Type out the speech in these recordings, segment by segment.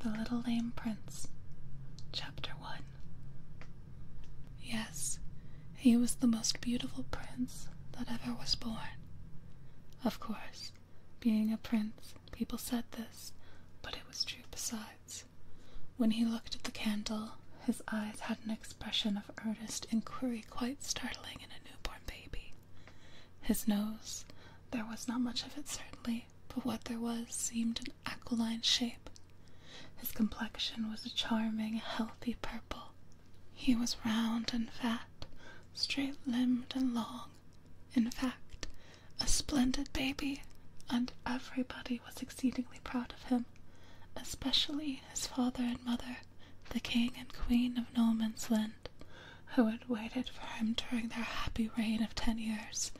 The Little Lame Prince, Chapter 1 Yes, he was the most beautiful prince that ever was born. Of course, being a prince, people said this, but it was true besides. When he looked at the candle, his eyes had an expression of earnest inquiry quite startling in a newborn baby. His nose, there was not much of it certainly, but what there was seemed an aquiline shape. His complexion was a charming, healthy purple. He was round and fat, straight limbed and long. In fact, a splendid baby, and everybody was exceedingly proud of him, especially his father and mother, the king and queen of No Man's Land who had waited for him during their happy reign of ten years,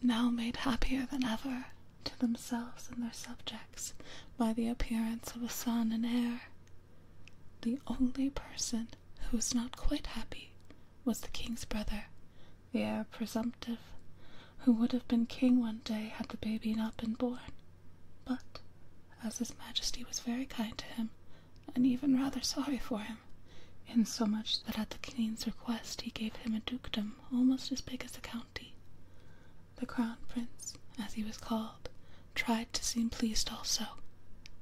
now made happier than ever to themselves and their subjects by the appearance of a son and heir. The only person who was not quite happy was the king's brother, the heir presumptive, who would have been king one day had the baby not been born. But, as his majesty was very kind to him, and even rather sorry for him, insomuch that at the king's request he gave him a dukedom almost as big as a county. The crown prince, as he was called, tried to seem pleased also,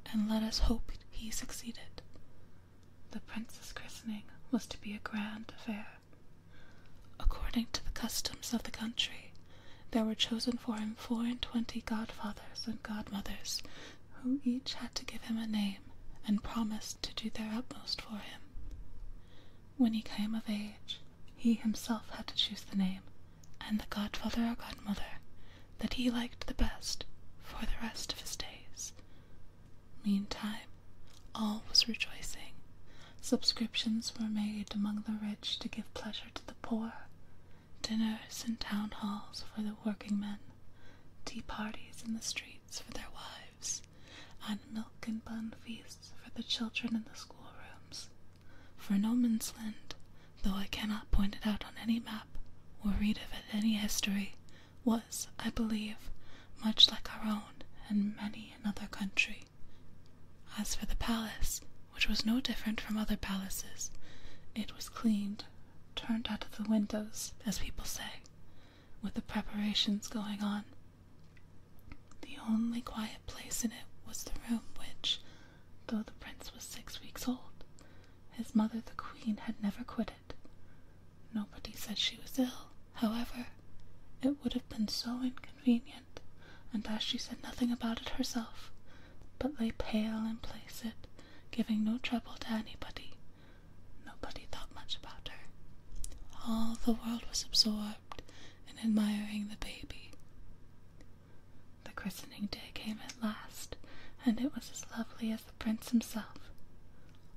and let us hope he succeeded. The prince's christening was to be a grand affair. According to the customs of the country, there were chosen for him four and twenty godfathers and godmothers who each had to give him a name and promised to do their utmost for him. When he came of age, he himself had to choose the name and the godfather or godmother that he liked the best for the rest of his days. Meantime, all was rejoicing. Subscriptions were made among the rich to give pleasure to the poor, dinners in town halls for the working men, tea parties in the streets for their wives, and milk and bun feasts for the children in the schoolrooms. For No Man's Land, though I cannot point it out on any map or read of it in any history, was, I believe, much like our own and many another country. As for the palace, which was no different from other palaces, it was cleaned turned out of the windows, as people say, with the preparations going on. The only quiet place in it was the room which, though the prince was six weeks old, his mother the queen had never quitted. Nobody said she was ill, however, it would have been so inconvenient, and as she said nothing about it herself, but lay pale and placid, giving no trouble to anybody. Nobody thought much about her. All the world was absorbed in admiring the baby. The christening day came at last, and it was as lovely as the prince himself.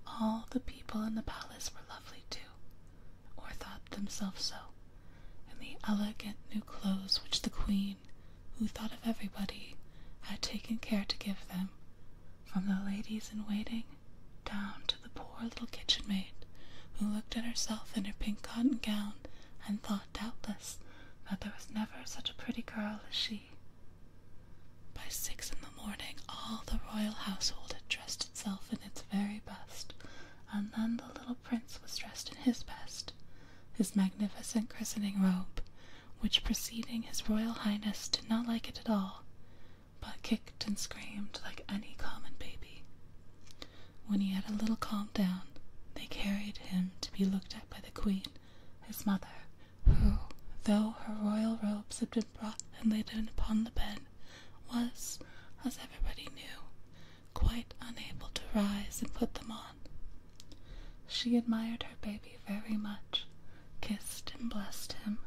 All the people in the palace were lovely too, or thought themselves so, in the elegant new clothes which the queen who thought of everybody, had taken care to give them, from the ladies in waiting down to the poor little kitchen maid, who looked at herself in her pink cotton gown and thought, doubtless, that there was never such a pretty girl as she. By six in the morning, all the royal household had dressed itself in its very best, and then the little little prince was dressed in his best, his magnificent christening robe, which preceding his royal highness did not like it at all, but kicked and screamed like any common baby. When he had a little calmed down, they carried him to be looked at by the queen, his mother, who, though her royal robes had been brought and laid upon the bed, was, as everybody knew, quite unable to rise and put them on. She admired her baby very much, kissed and blessed him,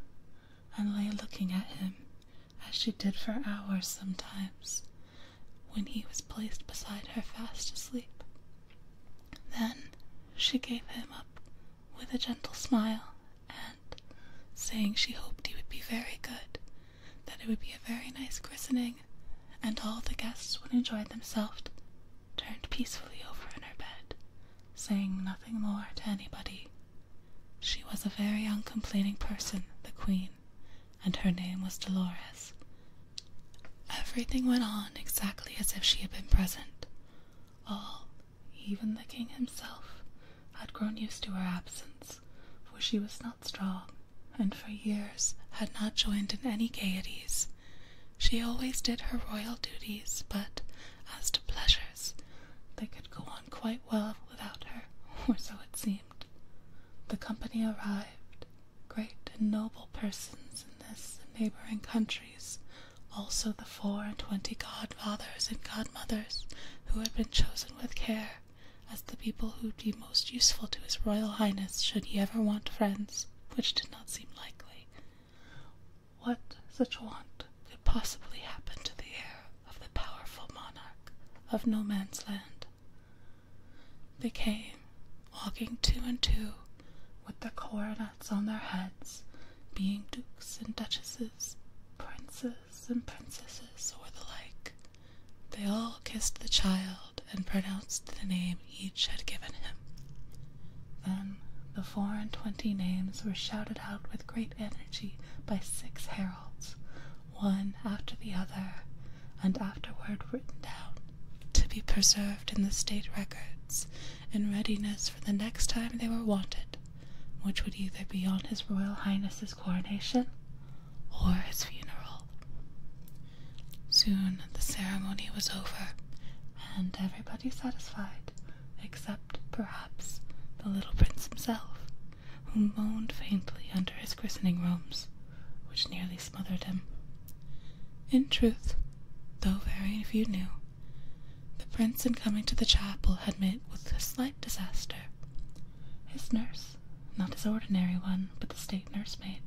and lay looking at him, as she did for hours sometimes, when he was placed beside her fast asleep. Then she gave him up with a gentle smile, and, saying she hoped he would be very good, that it would be a very nice christening, and all the guests would enjoy themselves, turned peacefully over in her bed, saying nothing more to anybody. She was a very uncomplaining person, the Queen, and her name was Dolores. Everything went on exactly as if she had been present. All, even the King himself, had grown used to her absence, for she was not strong, and for years had not joined in any gaieties. She always did her royal duties, but as to pleasures, they could go on quite well without her, or so it seemed. The company arrived, great and noble persons in this and neighboring countries, also the four and twenty godfathers and godmothers who had been chosen with care as the people who would be most useful to his Royal Highness should he ever want friends, which did not seem likely. What such want could possibly happen to the heir of the powerful monarch of No Man's Land? They came, walking two and two, with their coronets on their heads, being dukes and duchesses, princes and princesses, or the like. They all kissed the child and pronounced the name each had given him. Then the four and twenty names were shouted out with great energy by six heralds, one after the other, and afterward written down, to be preserved in the state records, in readiness for the next time they were wanted, which would either be on His Royal Highness' coronation or his funeral. Soon the ceremony was over, and everybody satisfied, except perhaps the little prince himself, who moaned faintly under his christening robes, which nearly smothered him. In truth, though very few knew, the prince in coming to the chapel had met with a slight disaster. His nurse not his ordinary one, but the state nursemaid,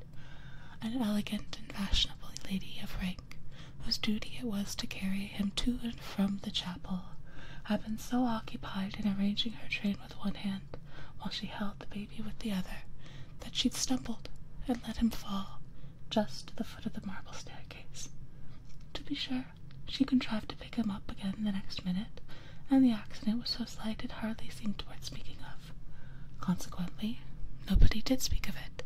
an elegant and fashionable lady of rank, whose duty it was to carry him to and from the chapel, had been so occupied in arranging her train with one hand, while she held the baby with the other, that she'd stumbled and let him fall just to the foot of the marble staircase. To be sure, she contrived to pick him up again the next minute, and the accident was so slight it hardly seemed worth speaking of. Consequently, nobody did speak of it.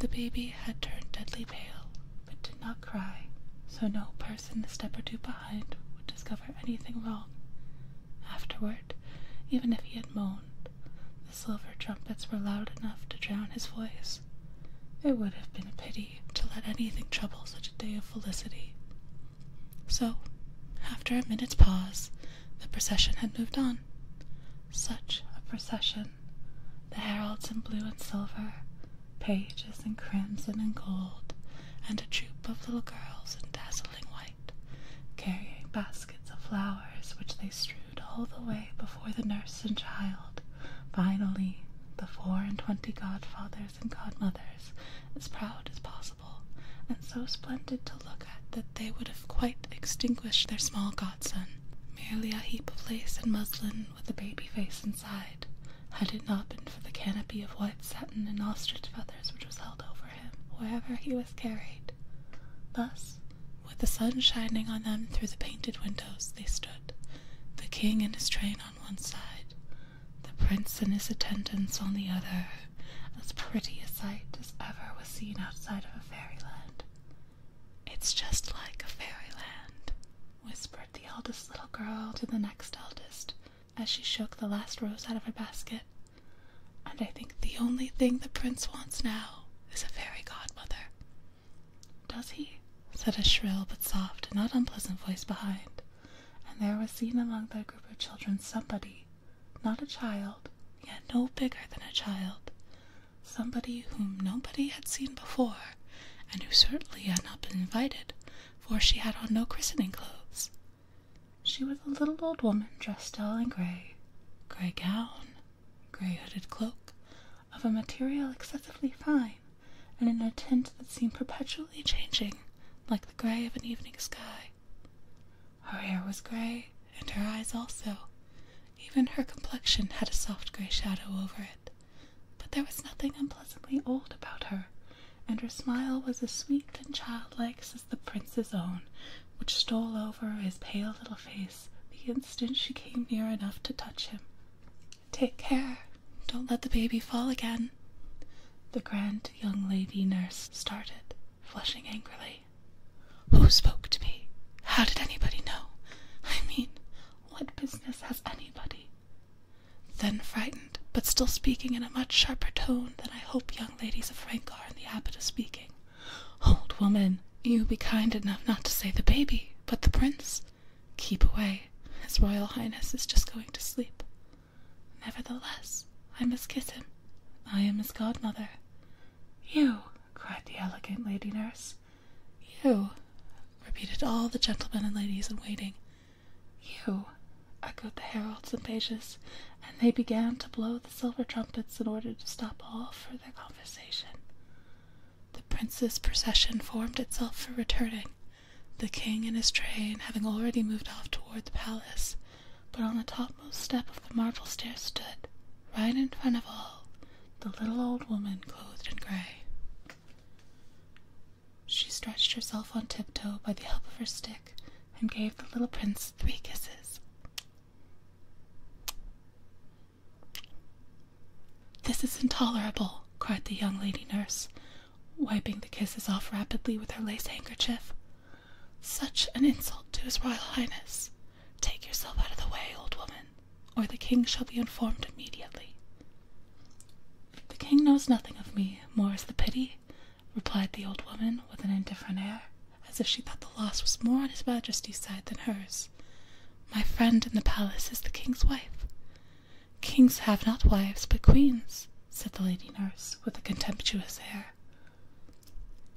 The baby had turned deadly pale, but did not cry, so no person a step or two behind would discover anything wrong. Afterward, even if he had moaned, the silver trumpets were loud enough to drown his voice. It would have been a pity to let anything trouble such a day of felicity. So, after a minute's pause, the procession had moved on. Such a procession! The heralds in blue and silver, pages in crimson and gold, and a troop of little girls in dazzling white, carrying baskets of flowers which they strewed all the way before the nurse and child, finally the four and twenty godfathers and godmothers as proud as possible, and so splendid to look at that they would have quite extinguished their small godson, merely a heap of lace and muslin with a baby face inside, had it not been for the canopy of white satin and ostrich feathers which was held over him wherever he was carried. Thus, with the sun shining on them through the painted windows, they stood, the king and his train on one side, the prince and his attendants on the other, as pretty a sight as ever was seen outside of a fairyland. It's just like a fairyland, whispered the eldest little girl to the next eldest as she shook the last rose out of her basket. And I think the only thing the prince wants now is a fairy godmother. Does he? said a shrill but soft not unpleasant voice behind, and there was seen among that group of children somebody, not a child, yet no bigger than a child, somebody whom nobody had seen before, and who certainly had not been invited, for she had on no christening clothes. She was a little old woman dressed all in grey, grey gown, grey hooded cloak, of a material excessively fine, and in a tint that seemed perpetually changing, like the grey of an evening sky. Her hair was grey, and her eyes also. Even her complexion had a soft grey shadow over it. But there was nothing unpleasantly old about her, and her smile was as sweet and childlike as the prince's own, which stole over his pale little face the instant she came near enough to touch him. Take care, don't let the baby fall again. The grand young lady nurse started, flushing angrily. Who spoke to me? How did anybody know? I mean, what business has anybody? Then frightened, but still speaking in a much sharper tone than I hope young ladies of rank are in the habit of speaking. Old woman, you be kind enough not to say the baby, but the prince. Keep away, His Royal Highness is just going to sleep. Nevertheless, I must kiss him. I am his godmother. You, cried the elegant lady nurse. You, repeated all the gentlemen and ladies in waiting. You, echoed the heralds and pages, and they began to blow the silver trumpets in order to stop all further conversation. The prince's procession formed itself for returning, the king and his train having already moved off toward the palace, but on the topmost step of the marble stairs stood, right in front of all, the little old woman clothed in gray. She stretched herself on tiptoe by the help of her stick and gave the little prince three kisses. This is intolerable, cried the young lady nurse, wiping the kisses off rapidly with her lace handkerchief. Such an insult to His Royal Highness. Take yourself out of the way, old woman, or the king shall be informed immediately. The king knows nothing of me, more is the pity, replied the old woman with an indifferent air, as if she thought the loss was more on his majesty's side than hers. My friend in the palace is the king's wife. Kings have not wives, but queens, said the lady nurse with a contemptuous air.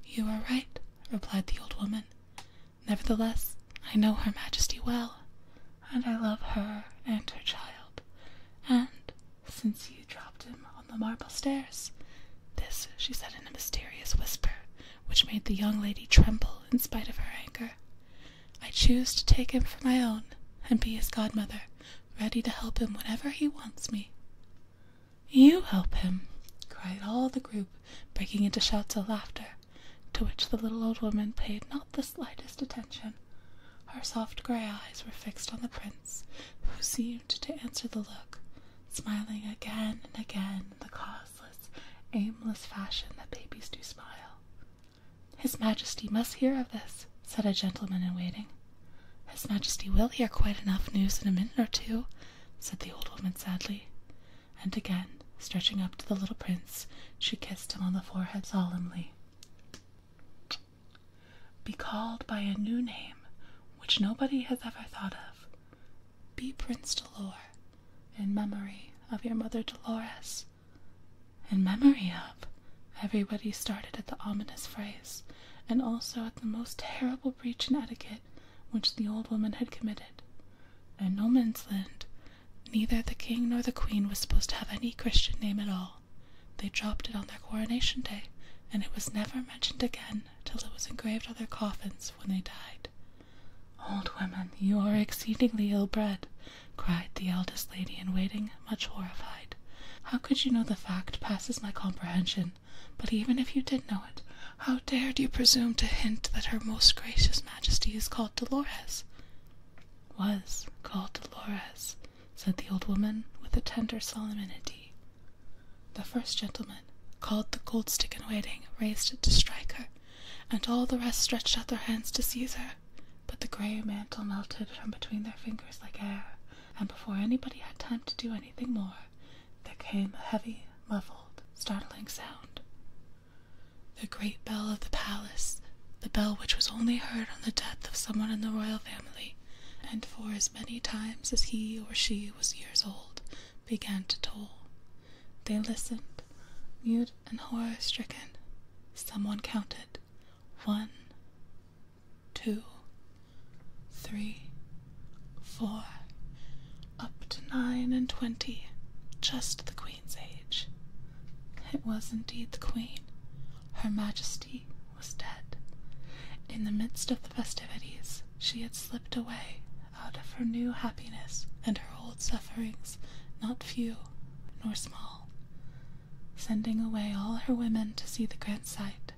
You are right, replied the old woman. Nevertheless, I know her majesty well, and I love her and her child. And since you dropped him on the marble stairs, this she said in a mysterious whisper which made the young lady tremble in spite of her anger. I choose to take him for my own and be his godmother, ready to help him whenever he wants me. You help him, cried all the group, breaking into shouts of laughter, to which the little old woman paid not the slightest attention. Her soft grey eyes were fixed on the prince, who seemed to answer the look, smiling again and again in the cause aimless fashion that babies do smile. His Majesty must hear of this, said a gentleman in waiting. His Majesty will hear quite enough news in a minute or two," said the old woman sadly. And again, stretching up to the little prince, she kissed him on the forehead solemnly. Be called by a new name which nobody has ever thought of. Be Prince Dolor, in memory of your mother Dolores. In memory of. Everybody started at the ominous phrase, and also at the most terrible breach in etiquette which the old woman had committed. In No Man's Land, neither the king nor the queen was supposed to have any Christian name at all. They dropped it on their coronation day, and it was never mentioned again till it was engraved on their coffins when they died. Old woman, you are exceedingly ill-bred, cried the eldest lady in waiting, much horrified. How could you know the fact passes my comprehension, but even if you did know it, how dared you presume to hint that her most gracious majesty is called Dolores? Was called Dolores, said the old woman with a tender solemnity. The first gentleman, called the gold stick in waiting, raised it to strike her, and all the rest stretched out their hands to seize her. But the grey mantle melted from between their fingers like air, and before anybody had time to do anything more, there came a heavy, muffled, startling sound. The great bell of the palace, the bell which was only heard on the death of someone in the royal family, and for as many times as he or she was years old, began to toll. They listened, mute and horror stricken. Someone counted. One, two, three, four, up to nine and twenty, just the Queen's age. It was indeed the Queen. Her Majesty was dead. In the midst of the festivities, she had slipped away out of her new happiness and her old sufferings, not few nor small, sending away all her women to see the grand sight.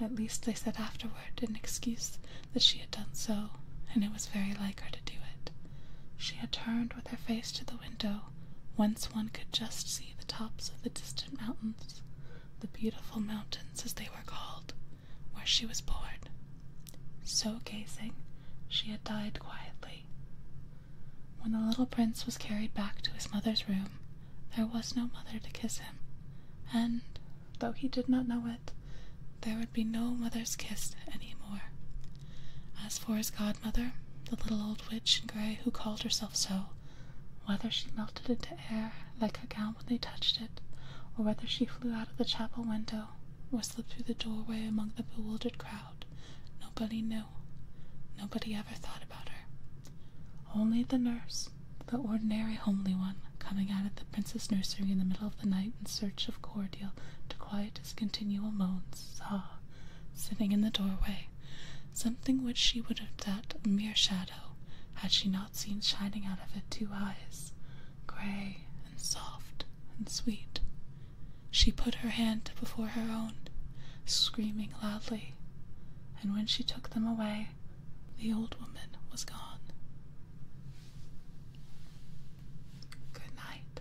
At least they said afterward in excuse that she had done so, and it was very like her to do it. She had turned with her face to the window, whence one could just see the tops of the distant mountains, the beautiful mountains as they were called, where she was born. So gazing, she had died quietly. When the little prince was carried back to his mother's room, there was no mother to kiss him, and, though he did not know it, there would be no mother's kiss any more. As for his godmother, the little old witch in grey who called herself so, whether she melted into air like a gown when they touched it, or whether she flew out of the chapel window, or slipped through the doorway among the bewildered crowd, nobody knew. Nobody ever thought about her. Only the nurse, the ordinary homely one, coming out of the prince's nursery in the middle of the night in search of cordial to quiet his continual moans, saw, sitting in the doorway, something which she would have thought a mere shadow had she not seen shining out of it two eyes, grey and soft and sweet. She put her hand before her own, screaming loudly, and when she took them away, the old woman was gone. Good night.